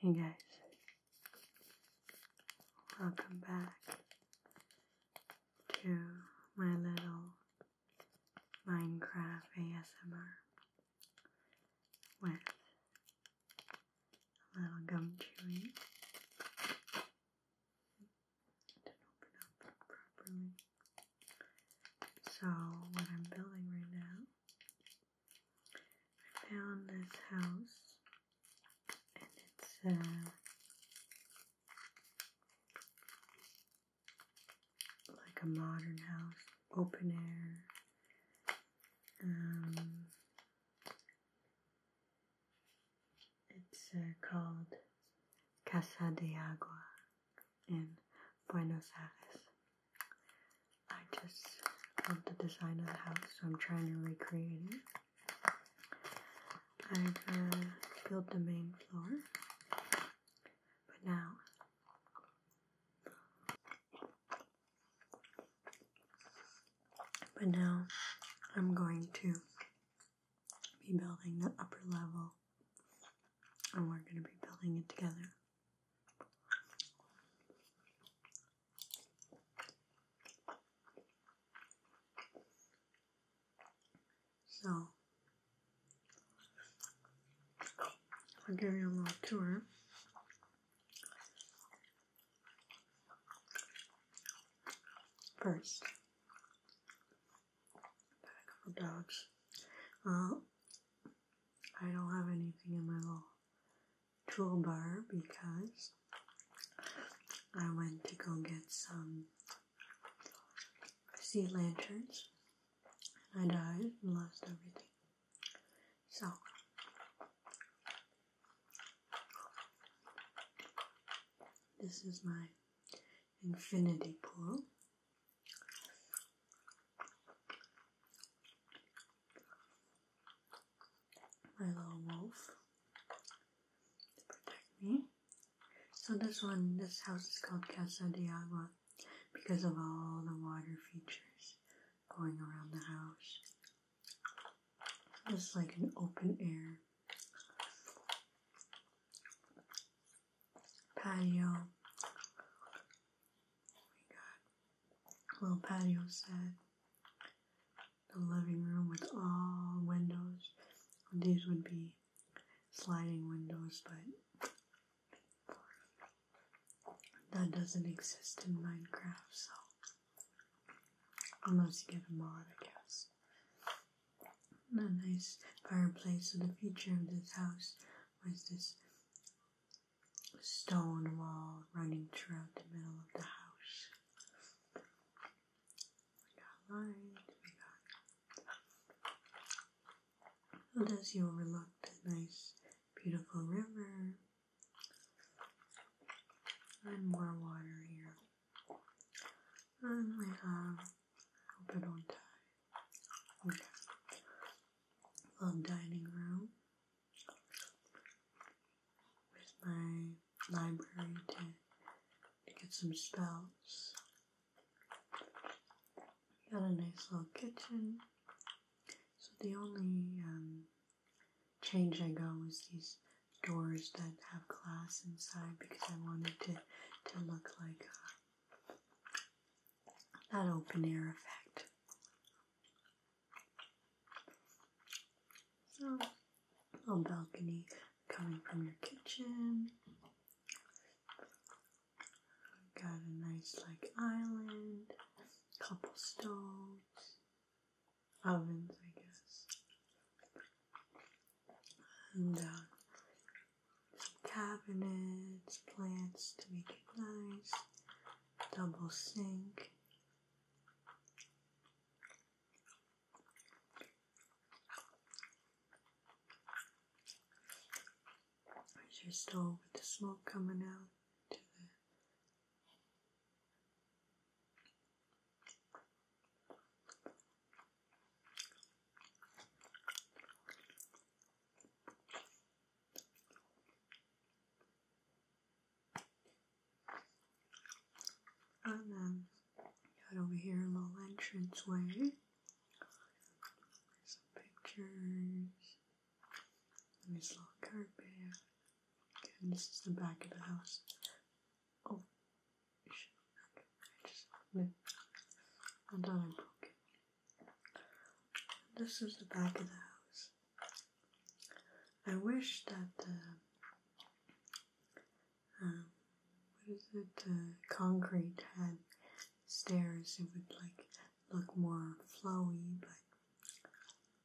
Hey guys, welcome back to my little Minecraft ASMR with a little gum chewing. Didn't open up properly. So, what I'm building right now I found this house and it's uh, like a modern house, open air. Um, it's uh, called Casa de Agua in Buenos Aires. I just love the design of the house, so I'm trying to recreate it. I've uh, built the main floor, but now but now I'm going to be building the upper level and we're going to be building it together. So, I'll give you a little tour. First, pack of dogs. Uh, I don't have anything in my little toolbar because I went to go get some sea lanterns and I died and lost everything. So this is my infinity pool my little wolf to protect me. So this one, this house is called Casa de Agua because of all the water features going around the house. So like an open air patio we got a little patio set, the living room with all windows. These would be sliding windows, but that doesn't exist in Minecraft, so unless you get a mod, I guess. a nice fireplace. So the future of this house was this stone wall running throughout the middle of the house. We got light, we got. And as you overlook the nice, beautiful river, and more water here. And we have, hope I don't die. Okay. Little dining room with my library to, to get some spells. Got a nice little kitchen. So the only um, change I got was these doors that have glass inside because I wanted to, to look like uh, that open air effect. So, little balcony coming from your kitchen. Got a nice like island, couple stoves, ovens, I guess, and uh, some cabinets, plants to make it nice double sink. There's your stove with the smoke coming out and then got over here a little entrance way. Some pictures. There's this little carpet. Again, this is the back of the house. Oh, I just no. I thought I broke this is the back of the house. I wish that uh, um, what is it? Uh, concrete had stairs. It would like look more flowy, but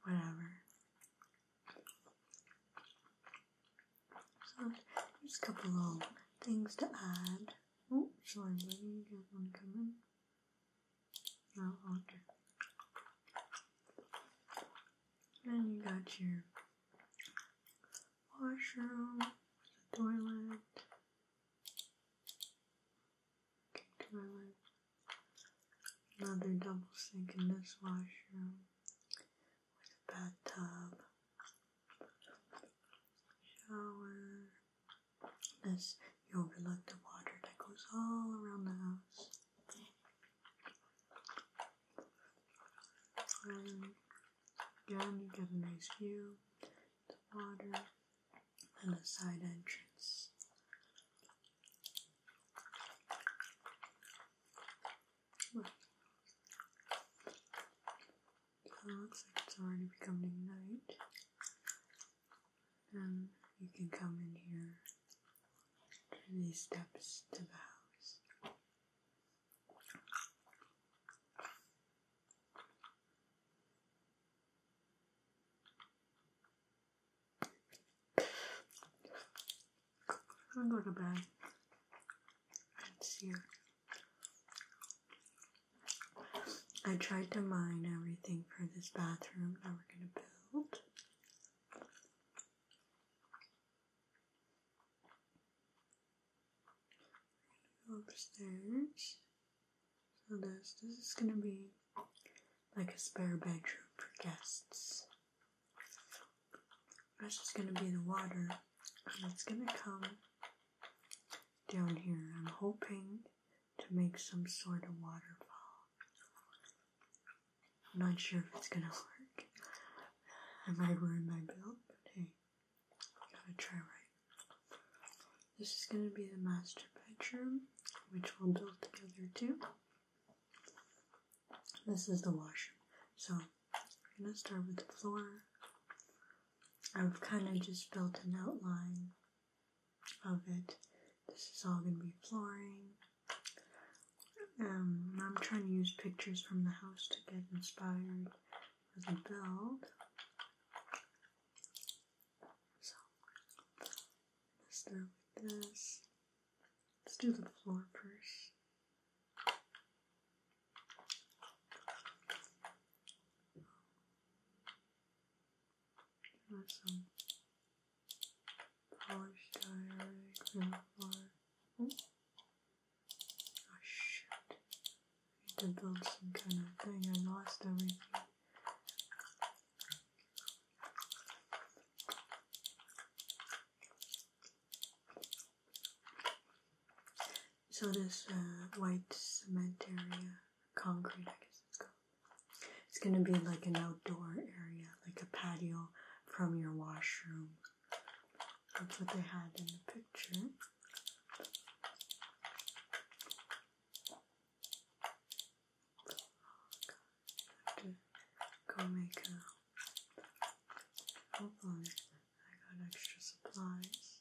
whatever. So there's a couple little things to add. Oh, sorry, lady, you guys want Oh, okay. Then you got your washroom, the toilet, toilet, another double sink in this washroom with a bathtub, shower as you overlook the water that goes all around the house. And again, you get a nice view, of the water, and the side entrance. looks like it's already becoming night. Um, you can come in here to these steps to the house. I'm gonna go to bed and see you I tried to mine everything for this bathroom Now we're going to build. upstairs. So this this is gonna be like a spare bedroom for guests. That's just gonna be the water, and it's gonna come down here. I'm hoping to make some sort of waterfall. I'm not sure if it's gonna work. I might ruin my build, but hey, gotta try right. This is gonna be the master bedroom, which we'll build together too. This is the washroom. So I'm gonna start with the floor. I've kind of just built an outline of it. This is all going to be flooring. Um, I'm trying to use pictures from the house to get inspired for the build. So, let's start with this. Let's do the floor first some polished iron, ground floor. I need to build some kind of thing. I lost everything. So this uh, white cement area uh, concrete, I guess it's gonna be like an outdoor area, like a patio from your washroom. That's what they had in the picture. Oh, go make a hopefully I got extra supplies.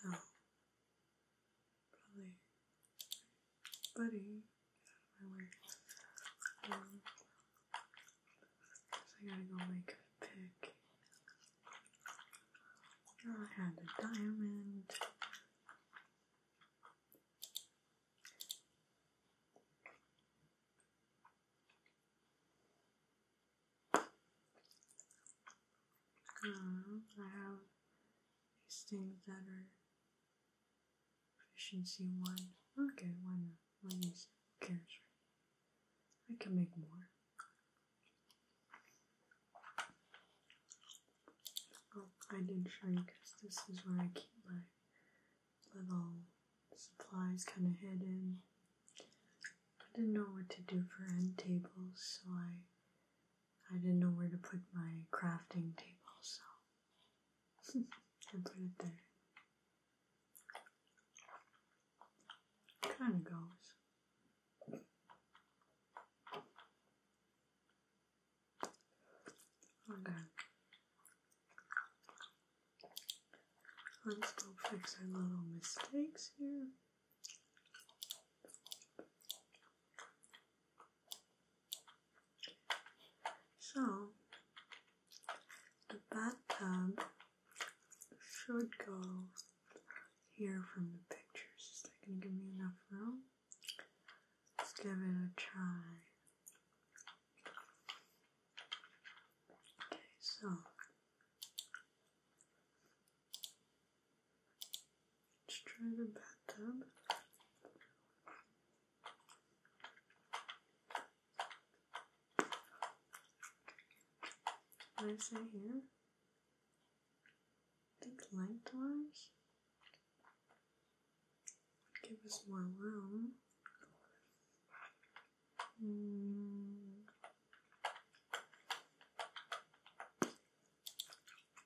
So, buddy, my way. Um, so I gotta make a pick. I had a diamond. Um, I have these things that are efficiency one. Okay, why not? Why use Who cares? I can make more. Oh, I didn't show you because this is where I keep my little supplies kind of hidden. I didn't know what to do for end tables, so I I didn't know where to put my crafting table, so I put it there. Kind of goes. Okay. Let's go fix our little mistakes here. So, the bathtub should go here from the pictures. Is that going to give me enough room? Let's give it a try. Okay, so let's try the bathtub. What is that here? I think lengthwise give us more room. Hmm.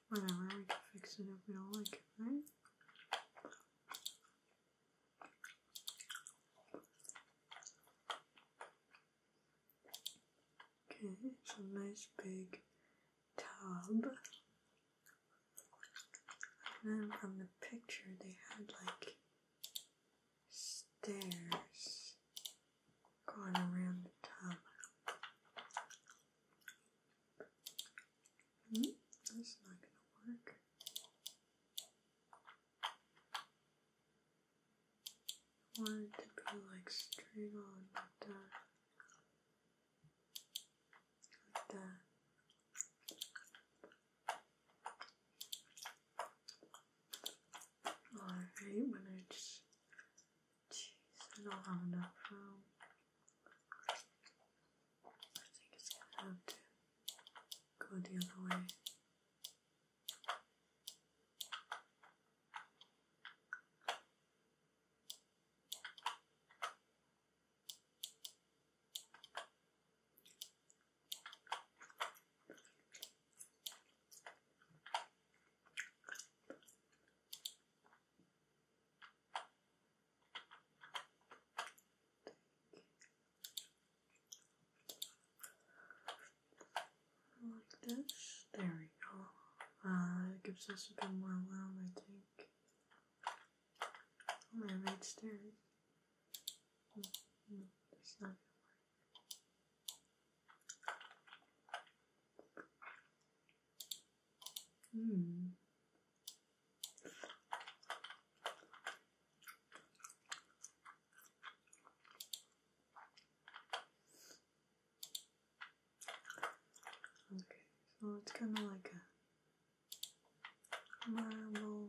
Whatever, we can fix it if we don't Okay, it's a nice big tub. And then from the picture, they had like stairs going around the top. Hmm, that's not gonna work. I to be like straight on like that. Like that. I hate when I just choose not enough room. I think it's gonna have to go the other way. Like this. There we go. Uh, it gives us a bit more room, I think. Oh, I right stairs. Hmm. Okay, so it's kind of like a marble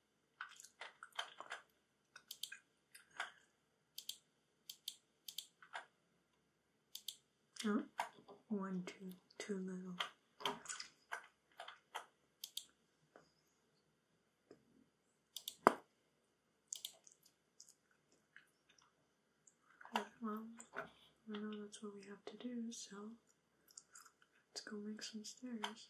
Oh, one too, little. well, I know that's what we have to do, so let's go make some stairs.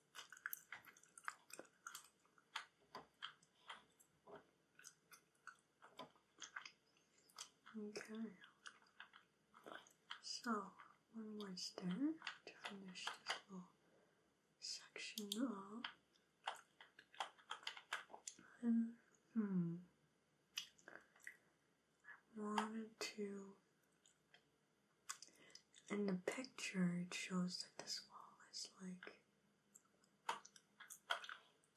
Okay, so one more step to finish this little section of, hmm, I wanted to in the picture, it shows that this wall is like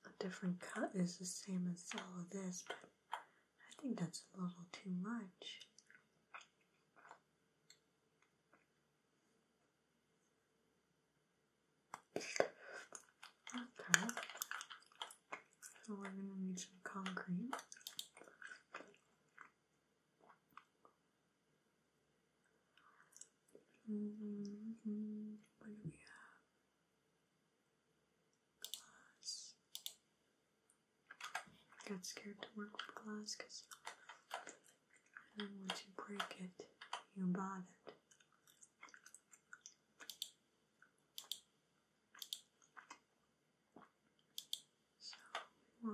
a different cut, is the same as all of this, but I think that's a little too much. Okay, so we're gonna need some concrete. What do we have? Glass. Got scared to work with glass because then once you break it, you bought it. So we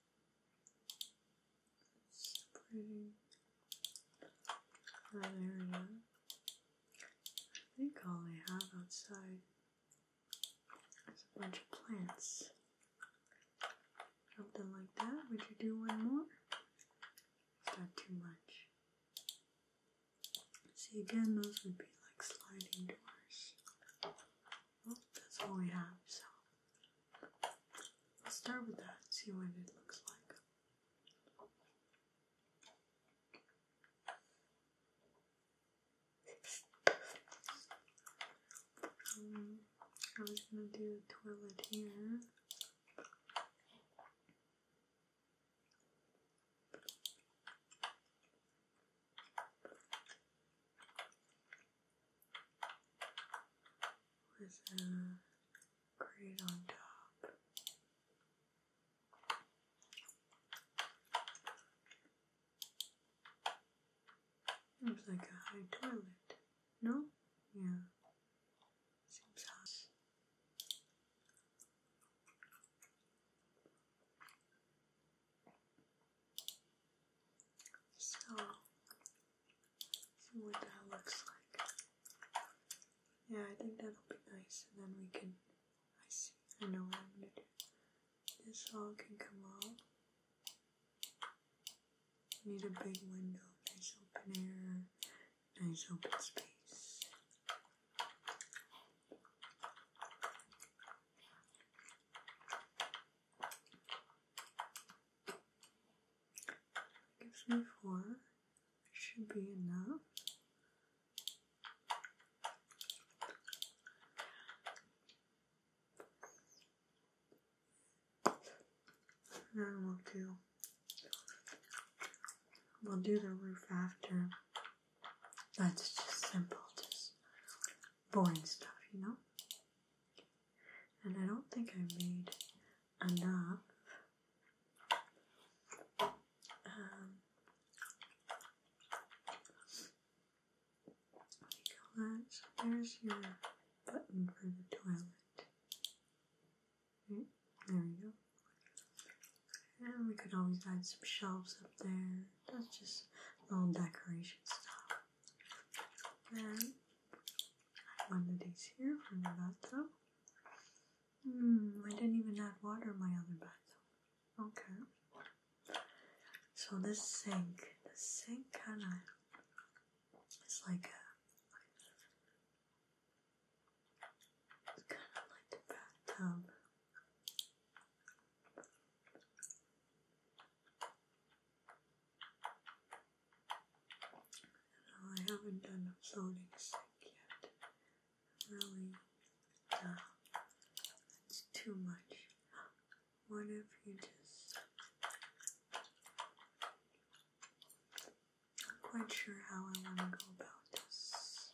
separating that area. I think all I have outside is a bunch of plants. Something like that. Would you do one more? It's not too much. See, again, those would be like sliding doors. Well, that's all we have, so let's start with that see what it looks like. Um, I was gonna do a toilet here with a grid on top. Seems like a high toilet. No? Yeah. Seems high. So, what that looks like. Yeah, I think that'll be nice, and then we can. I see, I know what I'm gonna do. This all can come out. need a big window, nice open air, nice open space. Gives me four. Should be enough. And we'll do we'll do the roof after. That's just simple, just boring stuff, you know? and I don't think I made enough. Um, there's your button for the toilet. Mm, there we go. And we could always add some shelves up there. That's just little decoration stuff. Then one of these here from the bathtub. Mm, I didn't even add water my other bathtub. Okay. So this sink, the sink kind of it's like a kind of like the bathtub. I haven't done a floating sink yet. Really, uh, it's too much. What if you just. I'm quite sure how I want to go about this.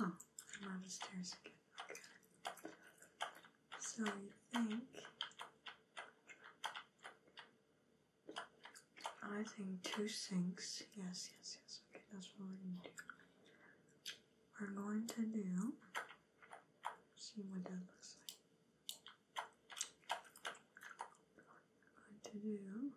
Oh, I'm on stairs again. So you think I think two sinks. Yes, yes, yes. Okay, that's what we're gonna do. We're going to do see what that looks like. I'm going to do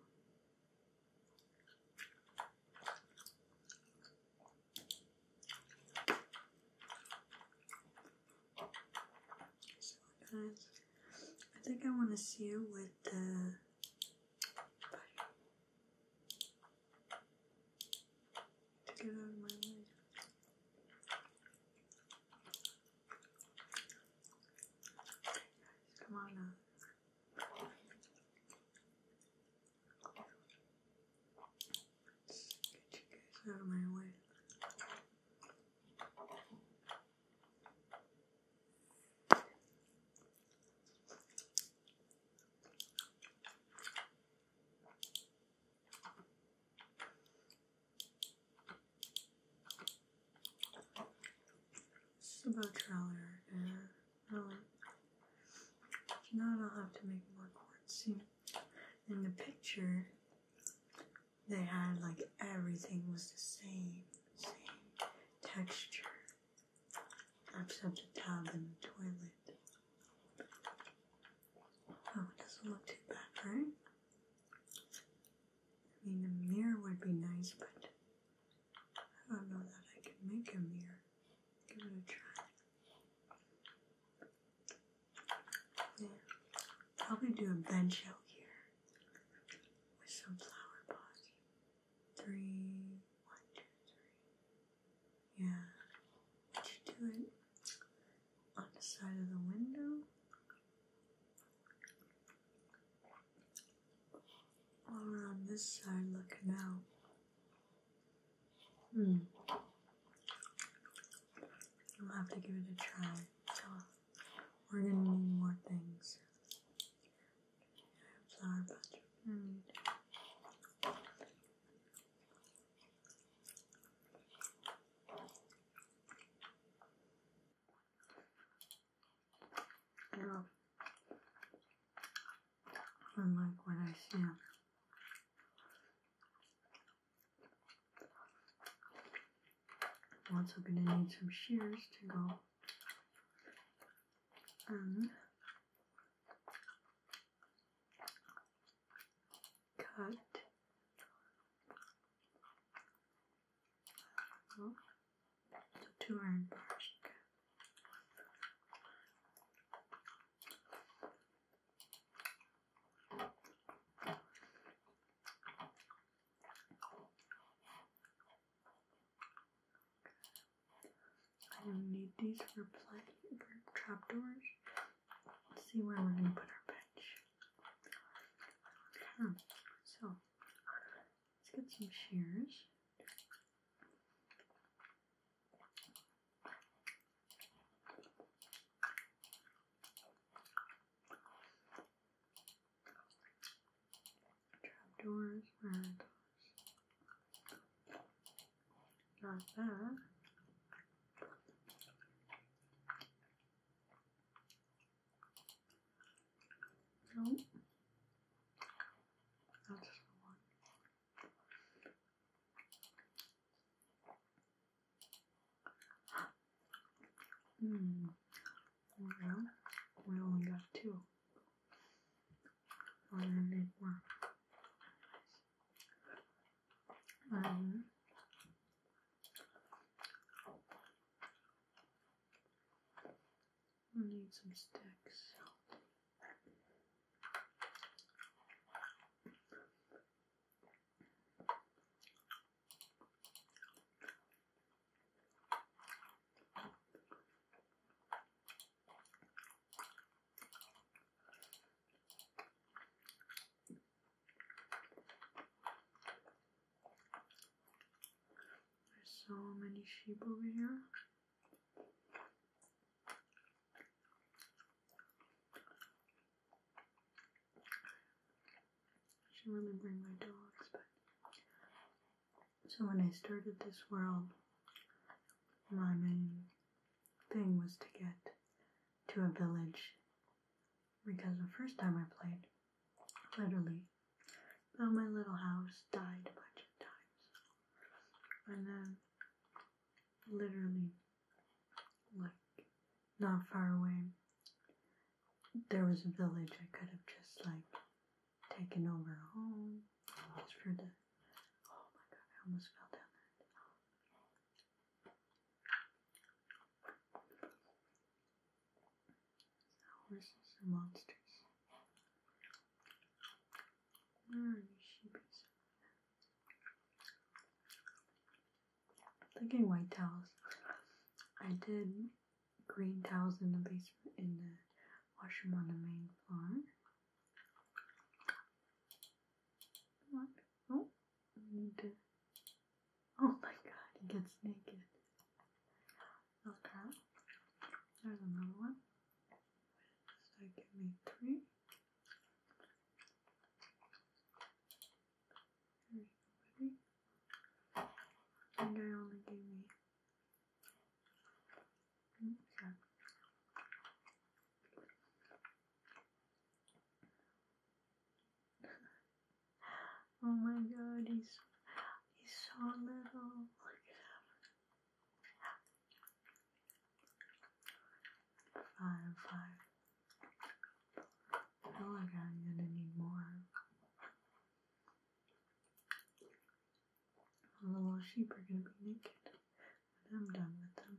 I think I want to see you with the to get out of my way. come on now. Get you guys out of my way. Subotrailer, about I'll, now I'll have to make more quartz. See, in the picture, they had like everything was the same, same texture, except the tub and the toilet. Oh, it doesn't look too bad, right? I mean, the mirror would be nice, but I don't know that I can make a mirror. Give it a try. Yeah. Probably do a bench out here with some flower pots. Three, one, two, three. Yeah. should do it on the side of the window. While we're on this side looking out. Hmm. I'm have to give it a try. So we're gonna need more things. Flower bunch. Mm. Yeah. I like what I see. I'm also gonna need some shears to go and cut Oh, two iron bars. Okay. I will need these for plenty for see where we're gonna put our bench. So Let's get some shears. Trapdoors, where are that. No. That's just one. Hmm. Well, we only got two. I'm gonna Um, we need some sticks. There's so many sheep over here. should really bring my dogs, So, when I started this world, my main thing was to get to a village because the first time I played, Literally. But my little house died a bunch of times. And then, literally, like, not far away, there was a village I could have just, like, taken over home. for the. Oh my god, I almost fell down Horses are monsters. are your sheepies? Thinking white towels. I did green towels in the basement in the washroom on the main floor. What? Oh, need to. Oh my god, it gets naked. Okay. There's another one. So give me three. There I only gave me. Okay. Oh my god, he's he's so little. Look at him. Fire, fire. I feel like I'm gonna need more. The little sheep are gonna be naked when I'm done with them.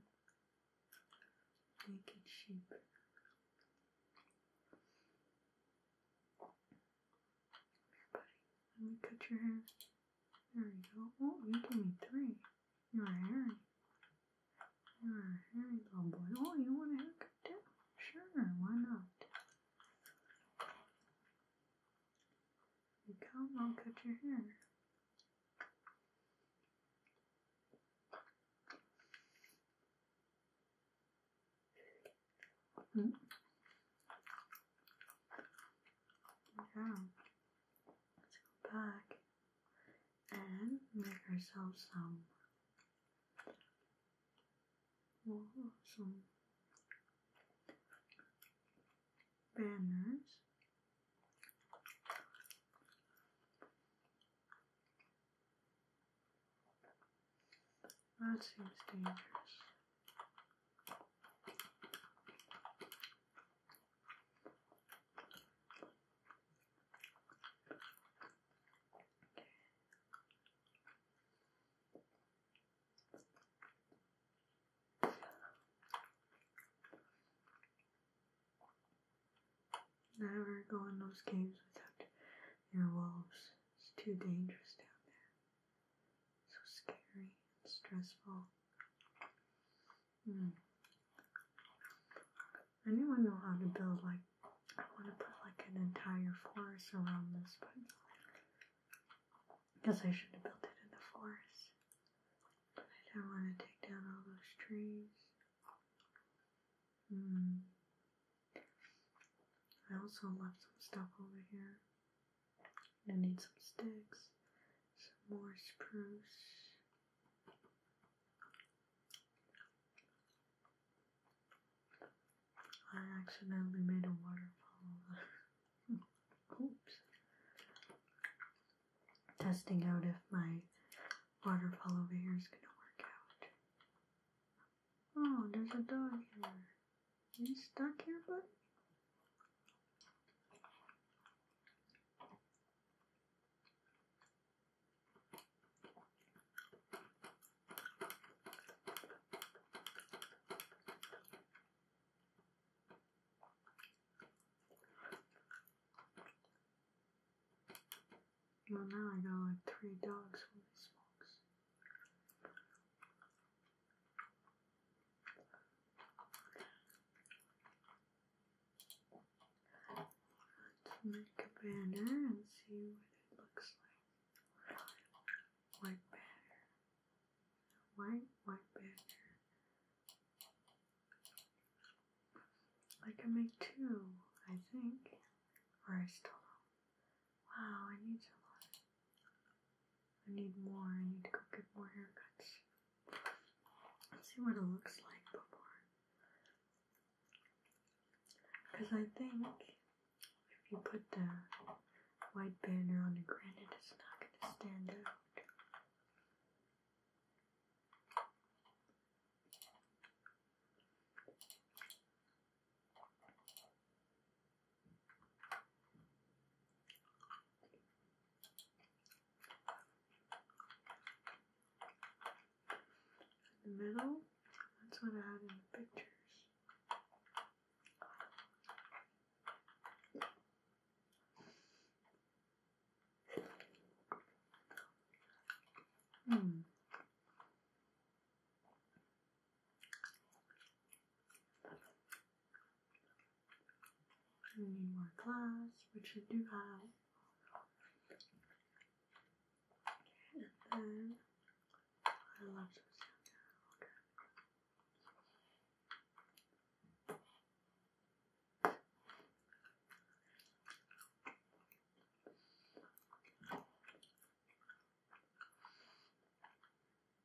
Naked sheep. Let me cut your hair. There you go. Oh, you gave me three. You're hairy. You're a hairy little boy. Oh, you want a haircut too? Sure, why not? come, I'll cut your hair. Yeah. Let's go back and make ourselves some some banners. That seems dangerous. Never go in those caves without your wolves. It's too dangerous down there. So scary and stressful. Mm. Anyone know how to build like I want to put like an entire forest around this, but I guess I should have built it in the forest. I do not want to take down all those trees. Mm. I also left some stuff over here. I need some sticks, some more spruce. I accidentally made a waterfall. Oops. Testing out if my waterfall over here is gonna work out. Oh, there's a dog here. Are you stuck here, bud? Well, now I got like three dogs. Holy smokes make a banner and see what it looks like. White banner. White, white banner. I can make two, I think. Or I still Wow, I need to learn. I need more. I need to go get more haircuts. see what it looks like before. Because I think if you put the white banner on the granite, it's not going to stand out. In the middle, that's what I had in the pictures. Hmm. We need more glass, which I do have. And then I love this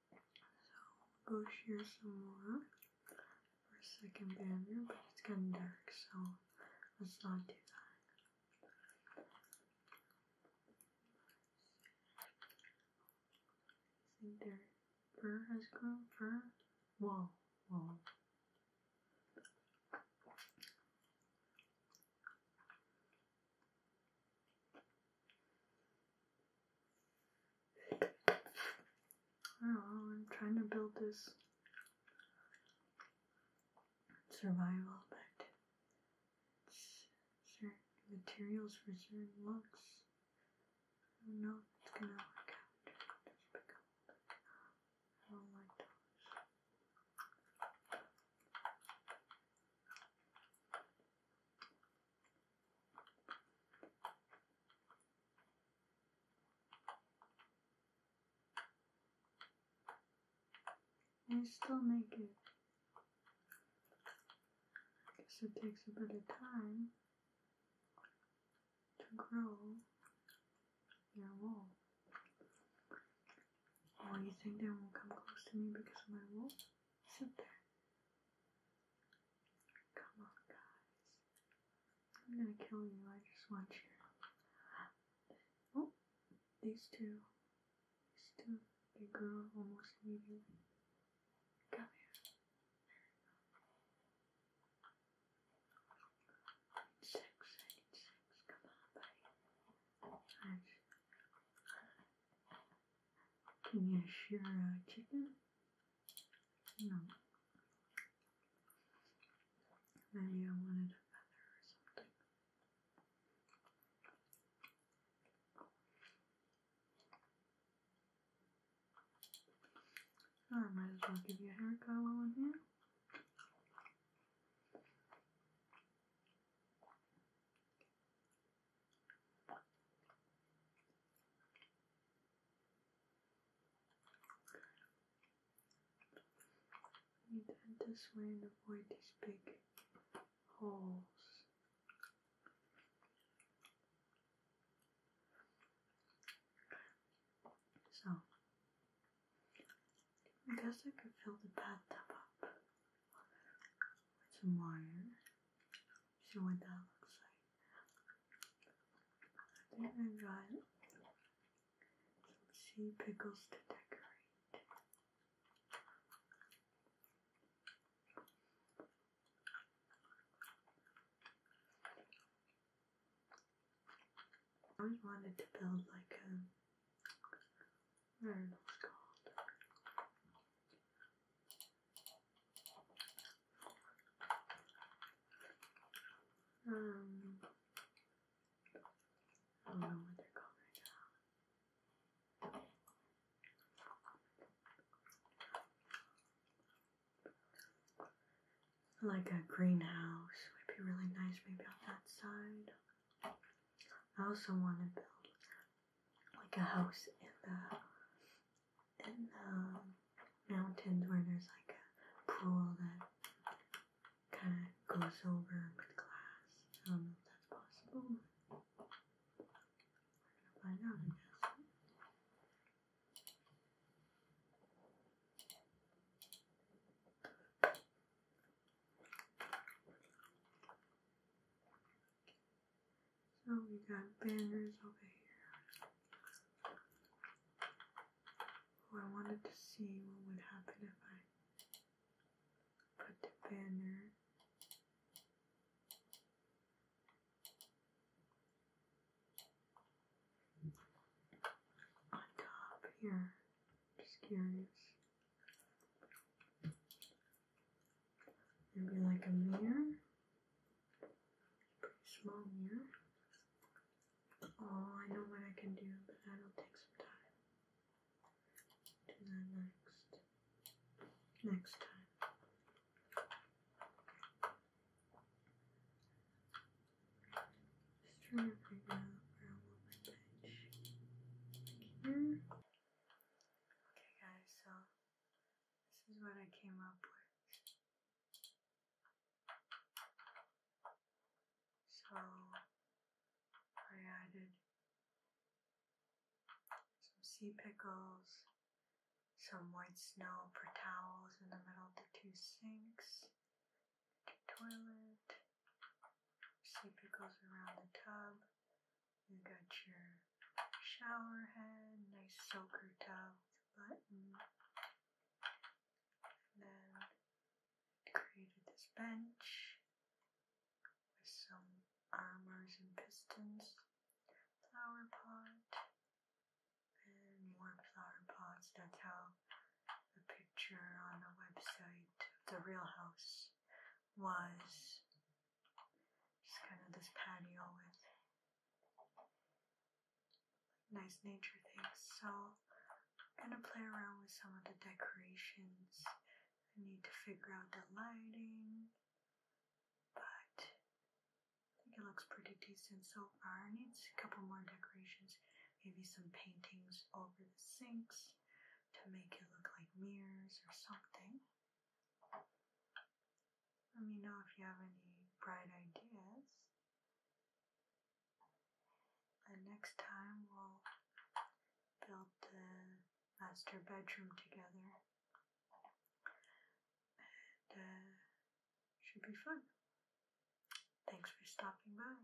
so i go share some more for a second banner, but it's getting dark, so let's not do that. I fur has grown fur. Whoa, whoa. I I'm trying to build this survival, but certain materials for certain looks. I do it's gonna work out. I don't like those. And still make I guess it takes a bit of time to grow your wool. Oh, you think they won't come close to me because of my wool? Sit there. Come on, guys. I'm gonna kill you. I just want you. Oh, these two. These two. They grow almost immediately. Come here. I need six. Come on, buddy. I can you shear a chicken? No. Maybe I wanted a feather or something. Oh, I might as well give you a haircut while I'm here. You turn this way and avoid these big holes. So, I guess I can fill the bathtub up with some wire. See what that looks like. Then I got some sea pickles to decorate. I wanted to build like a very nice card. Um, I don't know what they're called right now. Like a greenhouse would be really nice, maybe on that side. I also want to build like a house in the in the mountains where there's like a pool that kind of goes over with glass. I don't know if that's possible. We're gonna find out, I guess. So we got banners over here. Oh, I wanted to see what would happen if I put the banner. on top here. Just curious. Maybe like a mirror, pretty small mirror. Oh, I know what I can do, but that'll take some time. Do that next, next time. Just trying to figure out where I want my bench. Here. Okay guys, so this is what I came up with. So I added some sea pickles, some white snow for towels in the middle of the two sinks, the toilet, sea pickles around the tub, you got your shower head, nice soaker towel with a button. And then created this bench with some armors and pistons, flower pot, and more flower pots. That's how the picture on the website of the real house was just kind of this patio with nice nature things. So I'm gonna play around with some of the decorations. I need to figure out the lighting, but I think it looks pretty decent so far. Needs a couple more decorations, maybe some paintings over the sinks to make it look like mirrors or something. Let me know if you have any bright ideas. And next time we'll build the master bedroom together. And uh, should be fun. Thanks for stopping by.